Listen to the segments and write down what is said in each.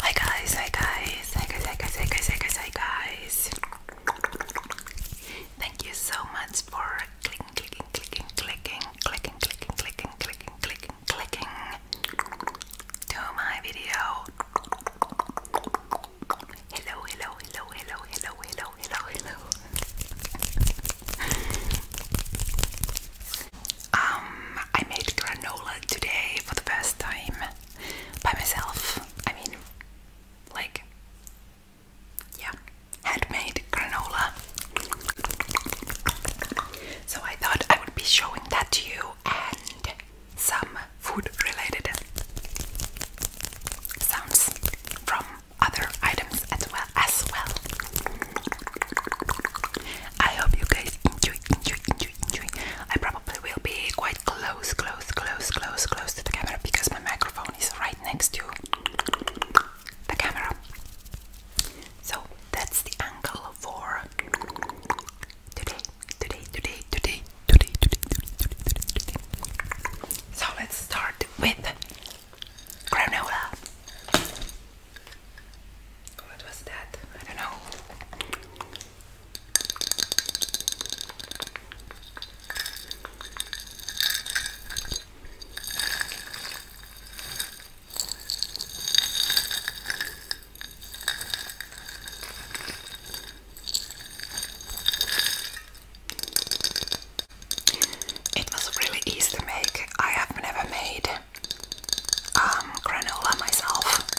Hi guys, hi guys, hi guys, hi guys, hi guys, hi guys, Thank you so much for clicking, clicking, clicking, clicking, clicking, clicking, clicking, clicking, clicking, clicking to my video. Hello, hello, hello, hello, hello, hello, hello, hello um, I made granola today for the first time by myself. I mean, like, yeah, handmade granola. So I thought I would be showing that to you and some food related sounds from other items as well as well. I hope you guys enjoy, enjoy, enjoy, enjoy. I probably will be quite close, close, close, close, close to the camera because my microphone is right next to the camera. So that's the angle for today, today, today, today, today, today, today, today, today, today. So let's start with granola. What was that? I don't know. It was really easy to make. I have never made um, granola myself,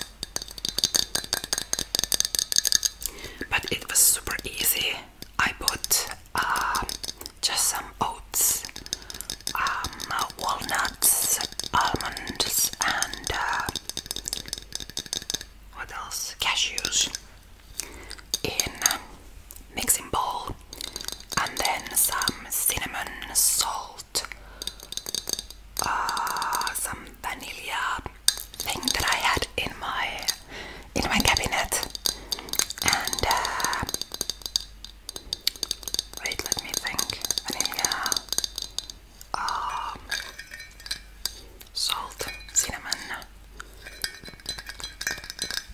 but it was super easy. I put um, just some oats, um, walnuts, almonds, and uh, what else? Cashews in mixing bowl and then some cinnamon, salt, uh, some vanilla thing that I had in my in my cabinet, and uh, wait, let me think. Vanilla, uh, salt, cinnamon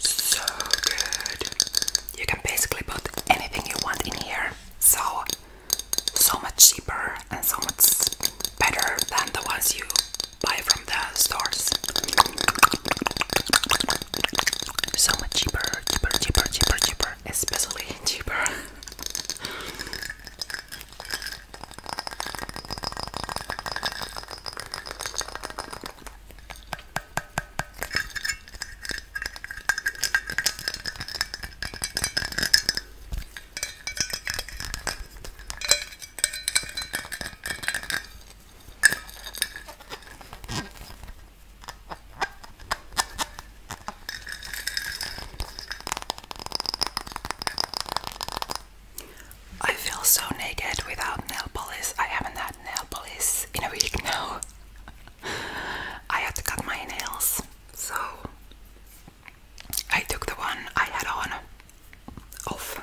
So good. You can basically put anything you want in here. So so much cheaper and so much better than the ones you buy from the stores. So much cheaper, cheaper, cheaper, cheaper, cheaper, especially cheaper. I feel so naked without nail polish. I haven't had nail polish in a week now. I had to cut my nails, so I took the one I had on off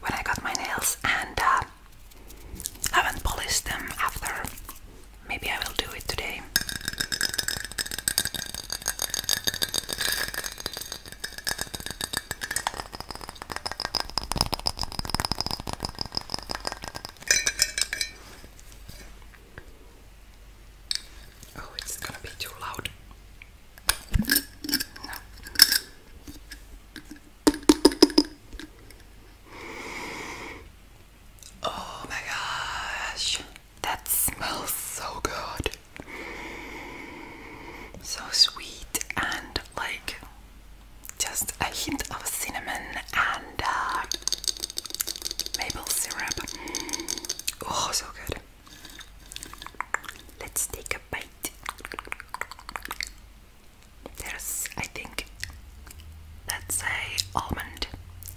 when I got my nails and uh, haven't polished them after. Maybe I will do it today. Oh, it's gonna be too loud. Oh my gosh, that smells so good. So sweet and like just a hint of cinnamon and uh, maple syrup. Oh, so good. Let's take a bite. There's, I think, that's a almond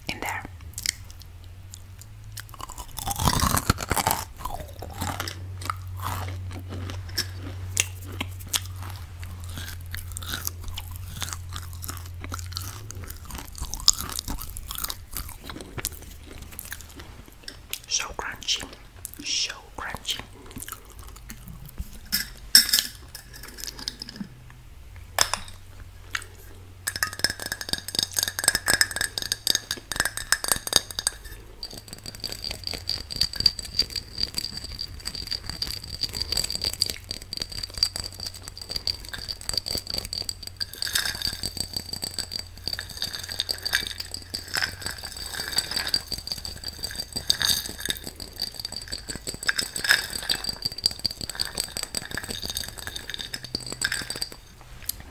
in there. So crunchy, so crunchy.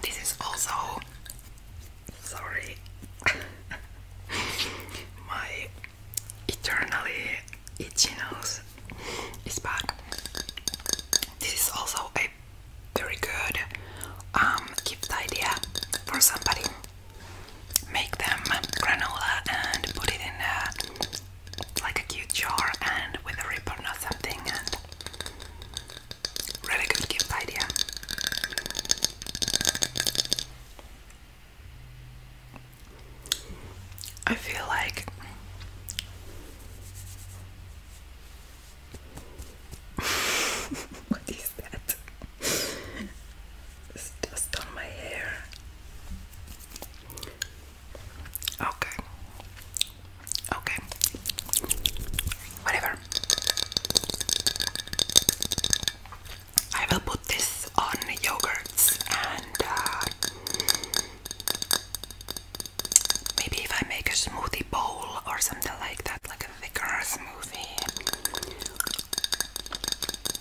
This is also sorry my eternally itchy nose it's back. This is also a very good um, gift idea for somebody. Make them granola and put it in a, like a cute jar and with a ribbon or something. really good gift idea. I feel like what is that? It's dust on my hair. Okay. Okay. Whatever. I will put this on yogurts and uh, maybe if I make a smoothie bowl or something like that, like a thicker smoothie.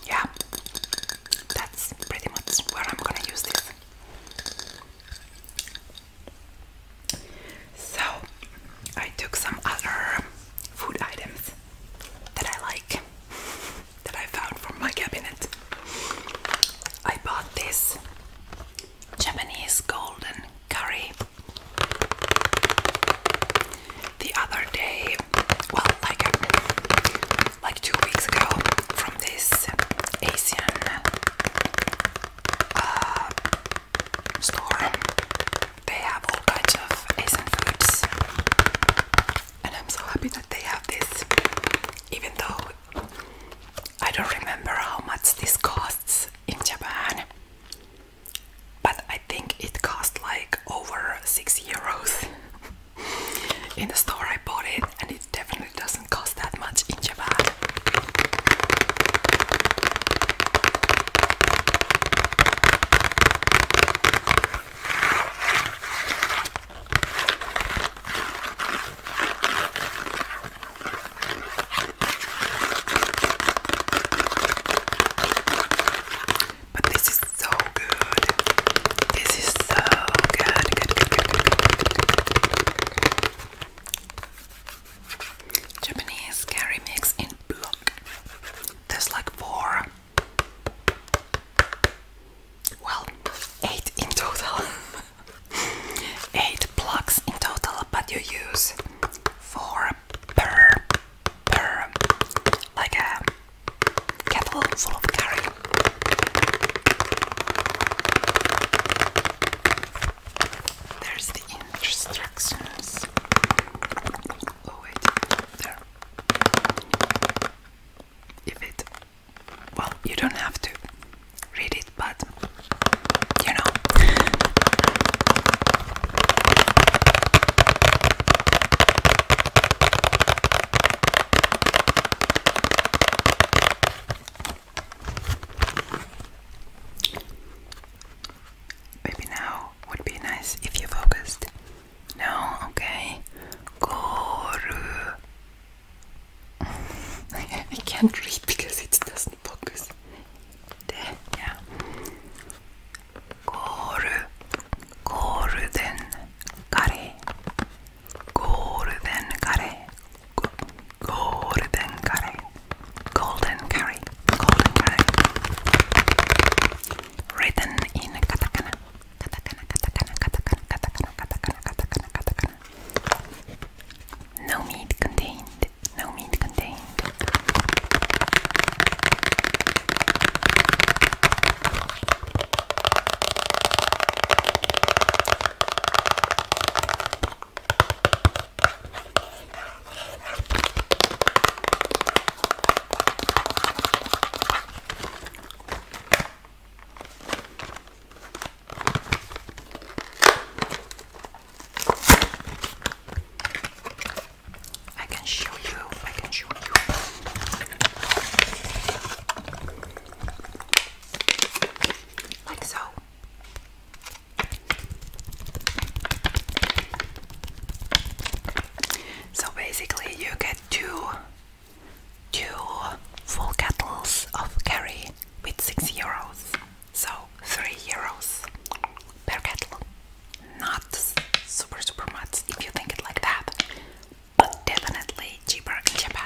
Yeah, that's pretty much where I'm gonna use this. So, I took some other food items that I like that I found from my cabinet. I bought this Japanese golden curry the other day, well, like like two weeks ago, from this Asian uh, store. They have all kinds of Asian foods and I'm so happy that they have this, even though I don't remember how much this costs in Japan. But I think it cost like over 6 euros. in the store I bought it, and it definitely doesn't cost that much in Japan. But this is so good. This is so good. Good, good, good, good, good. Japanese curry mix in block. There's like four well, eight in total. eight plugs in total, but you use four per per like a kettle full of curry. There's the instructions. Oh wait, there. If it well, you don't have to read it, but you know. Maybe now would be nice if you focused no, okay. Goru. I can't read because it doesn't focus. De, yeah. Goru. Golden curry. Golden curry. Golden curry. Golden curry. Golden curry. Written in katakana. Katakana, katakana, katakana, katakana, katakana, katakana, katakana. No meat contained. No meat contained. I can show you, I can show you. Like so. So basically, you get two two full kettles of curry with 6 euros, so 3 euros per kettle. Not super, super much if you think it like that, but definitely cheaper than Japan.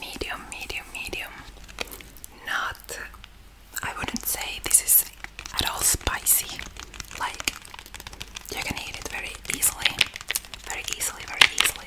medium, medium, medium. Not, I wouldn't say this is at all spicy. Like, you can eat it very easily, very easily, very easily.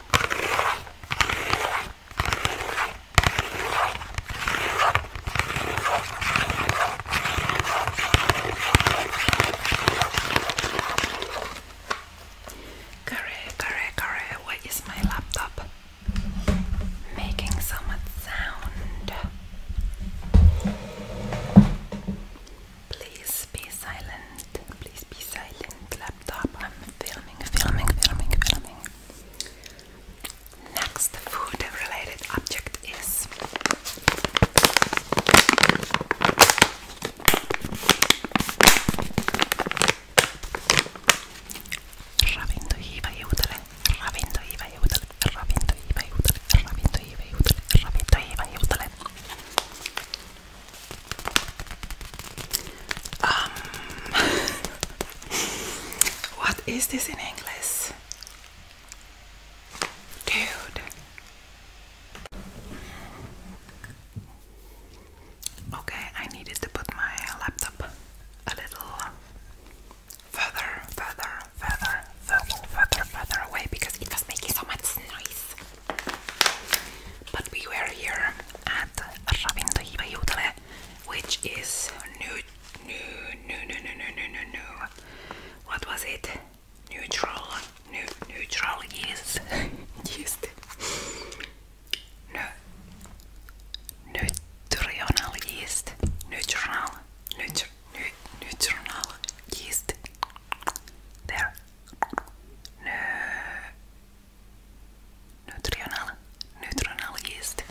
Curry, curry, curry, why my laptop making so much sound? Please be silent, please be silent, la laptop. I'm filming, filming, filming, filming. Next food related object is um, what is this in English? Dude. Okay, I needed to put my laptop a little further, further, further, further, further, further away because it was making so much noise. But we were here at Ravintohiva Jutale, which is new, new, new, new, new, new, new, new. What was it? Neutral, neutral yeast, yeast. No, nutritional yeast, neutral, neutral, neutral yeast. There. No, Neutrionella. Neutrionella yeast.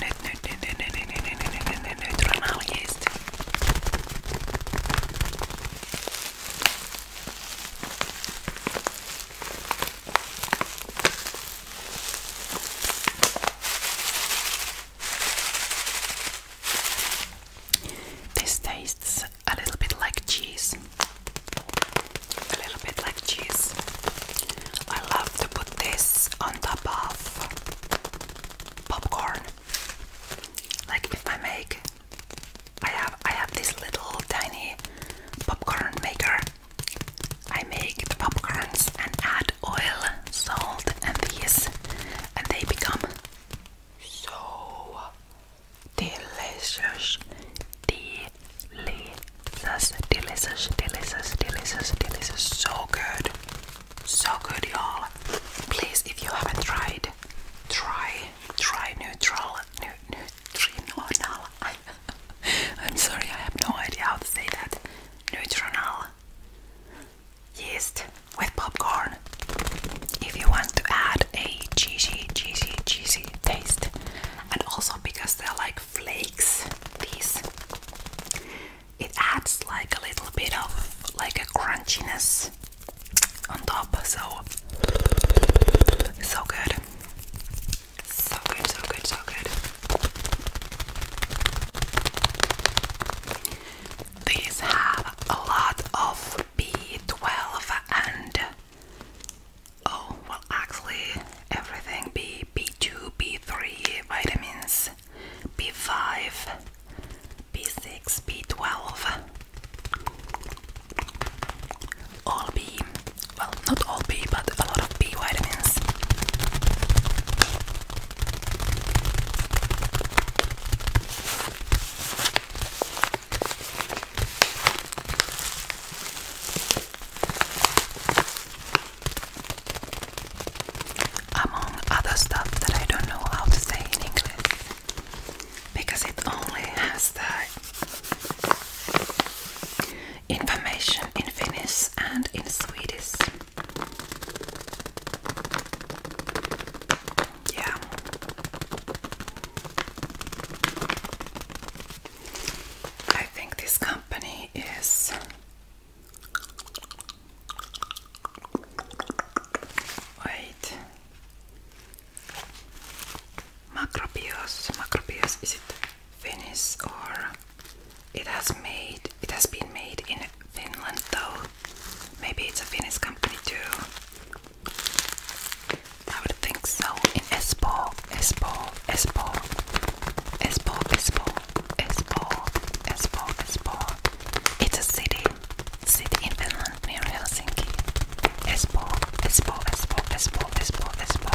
Neutrionella yeast. This tastes a little bit like cheese. A little bit like cheese. I love to put this on top of popcorn. Like if I make I have I have this little tiny popcorn maker. I make the popcorns and add oil, salt and these and they become so delicious, delicious, delicious, delicious, delicious, delicious. So good, so good, y'all. Please, if you haven't tried, try, try neutral, nu neutrinal. I'm sorry, I have no idea how to say that. Neutronal yeast with popcorn if you want to add a cheesy, cheesy, cheesy taste, and also because they're like flakes, these it adds like a little bit of like a crunchiness on top, so so good, so good, so good, so good. These have a lot of B12 and Oh, well, actually, everything B, B2, B3, vitamins, B5, B6, B12. All B, well, not all B, but a lot of B vitamins. Among other stuff that I don't know how to say in English because it only has the information in Finnish and in Swedish. Yeah, I think this company is wait Macrobios Macrobios is it Finnish or it has made it has been made in Finland though maybe it's a Finnish company too I would think so. In Espoo, Espoo, Espoo, Espoo, Espoo, Espoo, Espoo, Espoo. It's a city, city in Finland near Helsinki. Espoo, Espoo, Espoo, Espoo, Espoo, Espoo.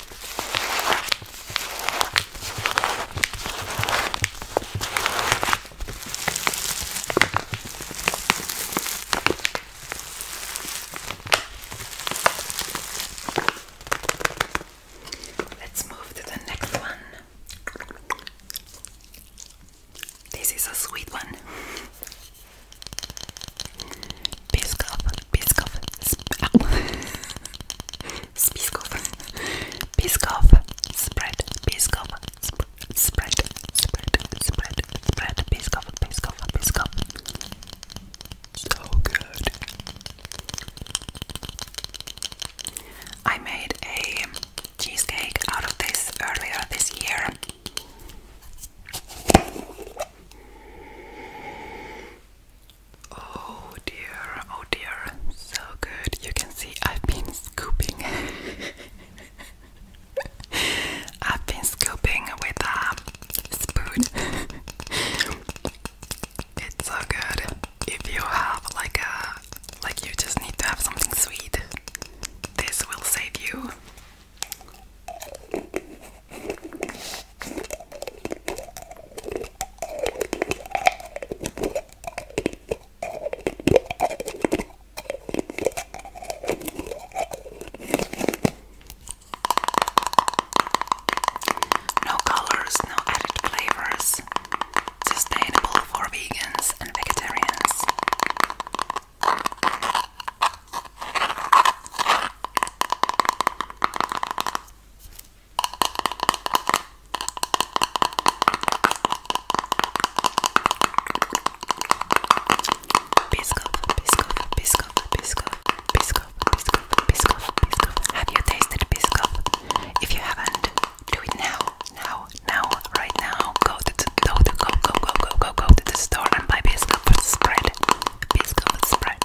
Let's move to the next one. This is a sweet one. Piskov, Piskov, Piskov, Piskov, spread, Piskov, sp spread, spread, spread, spread, Piskov, Piskov, Piskov. So good. I made a cheesecake out of this earlier this year. Oh dear, oh dear, so good. You can see I've been scooping. I've been scooping with a um, spoon. it's so good. If you have like a uh, like you just need to have something sweet. This will save you. No colors, no added flavors. Sustainable for vegans and vegetarians. Biscoff, Biscoff, Biscoff, Biscoff, Biscoff, Biscoff, Biscoff, Biscoff. Have you tasted Biscoff? If you haven't, do it now, now, now, right now. Go to the, go to go go go go go to the store and buy Biscoff spread. Biscoff spread.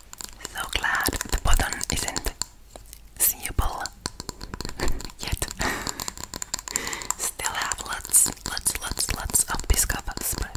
So glad the button isn't seeable yet. Still have lots, lots, lots, lots of biscuit spread.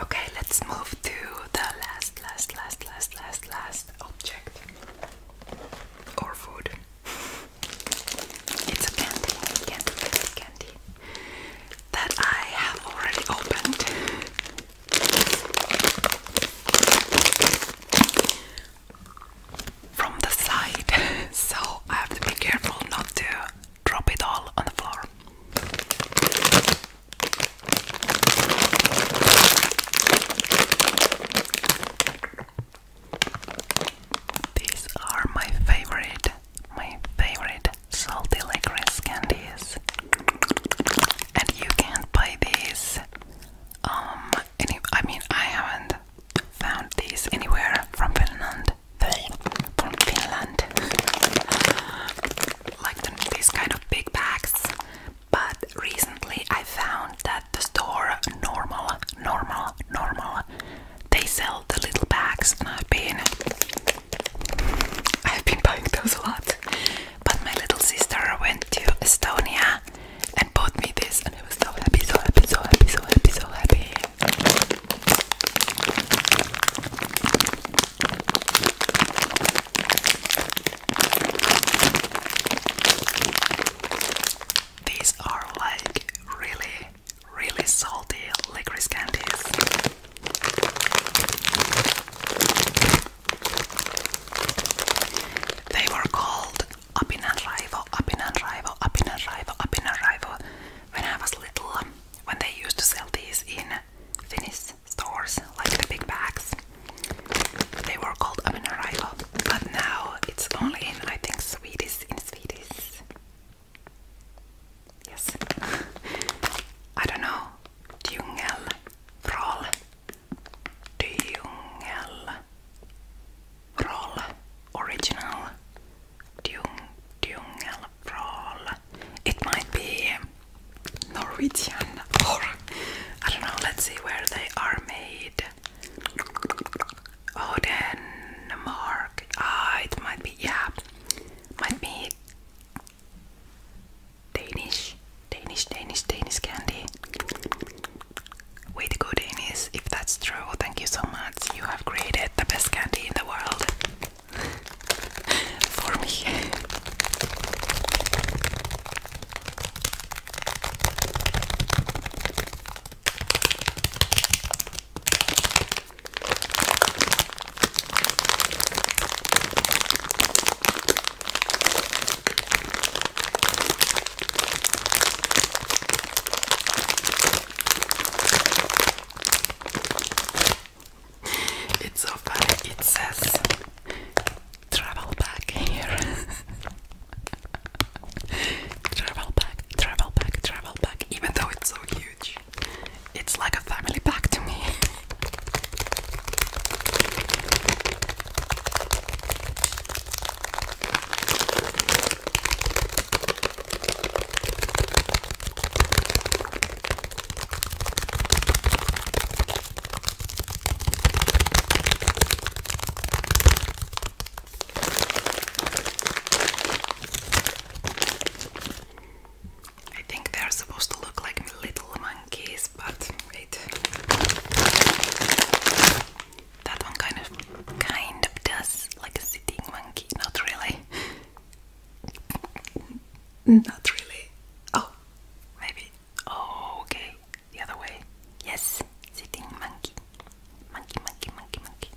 Okay, let's move to the last, last, last, last, last, last object or food. It's a candy, candy, candy, candy that I have already opened from the side, so I have to be careful not to drop it all on the floor. These are my favorite, my favorite salty licorice candies, and you can buy these um, any I mean I haven't found these anywhere from Finland. From Finland. like the, these kind of big bags. But recently I found that the store normal, normal, normal, they sell the little bags and I've been I've been buying those a lot. But my little sister went to Estonia and bought me this, and I was so happy, so happy, so happy, so happy, so happy. These are like really, really salty licorice candies. They were called up in a arrival, up in a arrival, up in a arrival, up in a arrival. When I was little, when they used to sell these in Finnish stores, like the big bags, they were called up in a arrival. But now it's only in, I think, Swedish, in Swedish. Yes. I don't know. Djungel. Troll. Djungel roll original Dung Dungel roll. It might be Norwegian or I don't know, let's see where they are made. Oh Denmark. Ah it might be yeah. Might be Danish, Danish, Danish, Danish candy. Way to go, Danish. If that's true, thank you so much. You have created the best candy in the world for me. It's so funny, it says travel back here. travel back, travel back, travel back, even though it's so huge. It's like a family pack to me. I think they're supposed to look like little monkeys, but wait. That one kind of kind of does like a sitting monkey, not really. Not really. Oh, maybe. Oh, okay. The other way. Yes, sitting monkey. Monkey, monkey, monkey, monkey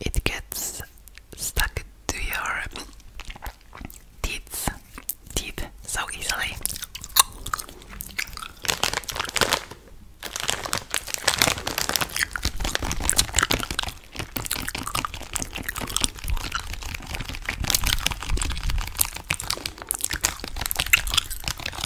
it gets stuck to your teeth, teeth so easily.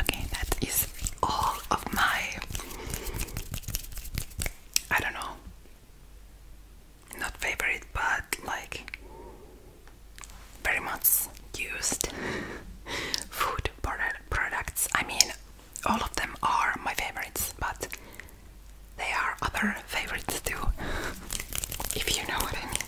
Okay, that is all of my. I don't know. Not favorite, but like very much used food product products. I mean, all of them are my favorites, but they are other favorites too, if you know what I mean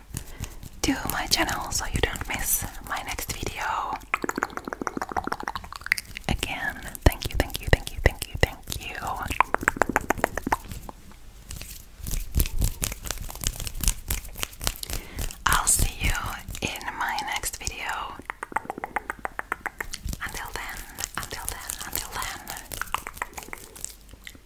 to my channel so you don't miss my next video. Again, thank you, thank you, thank you, thank you, thank you. I'll see you in my next video. Until then, until then, until then.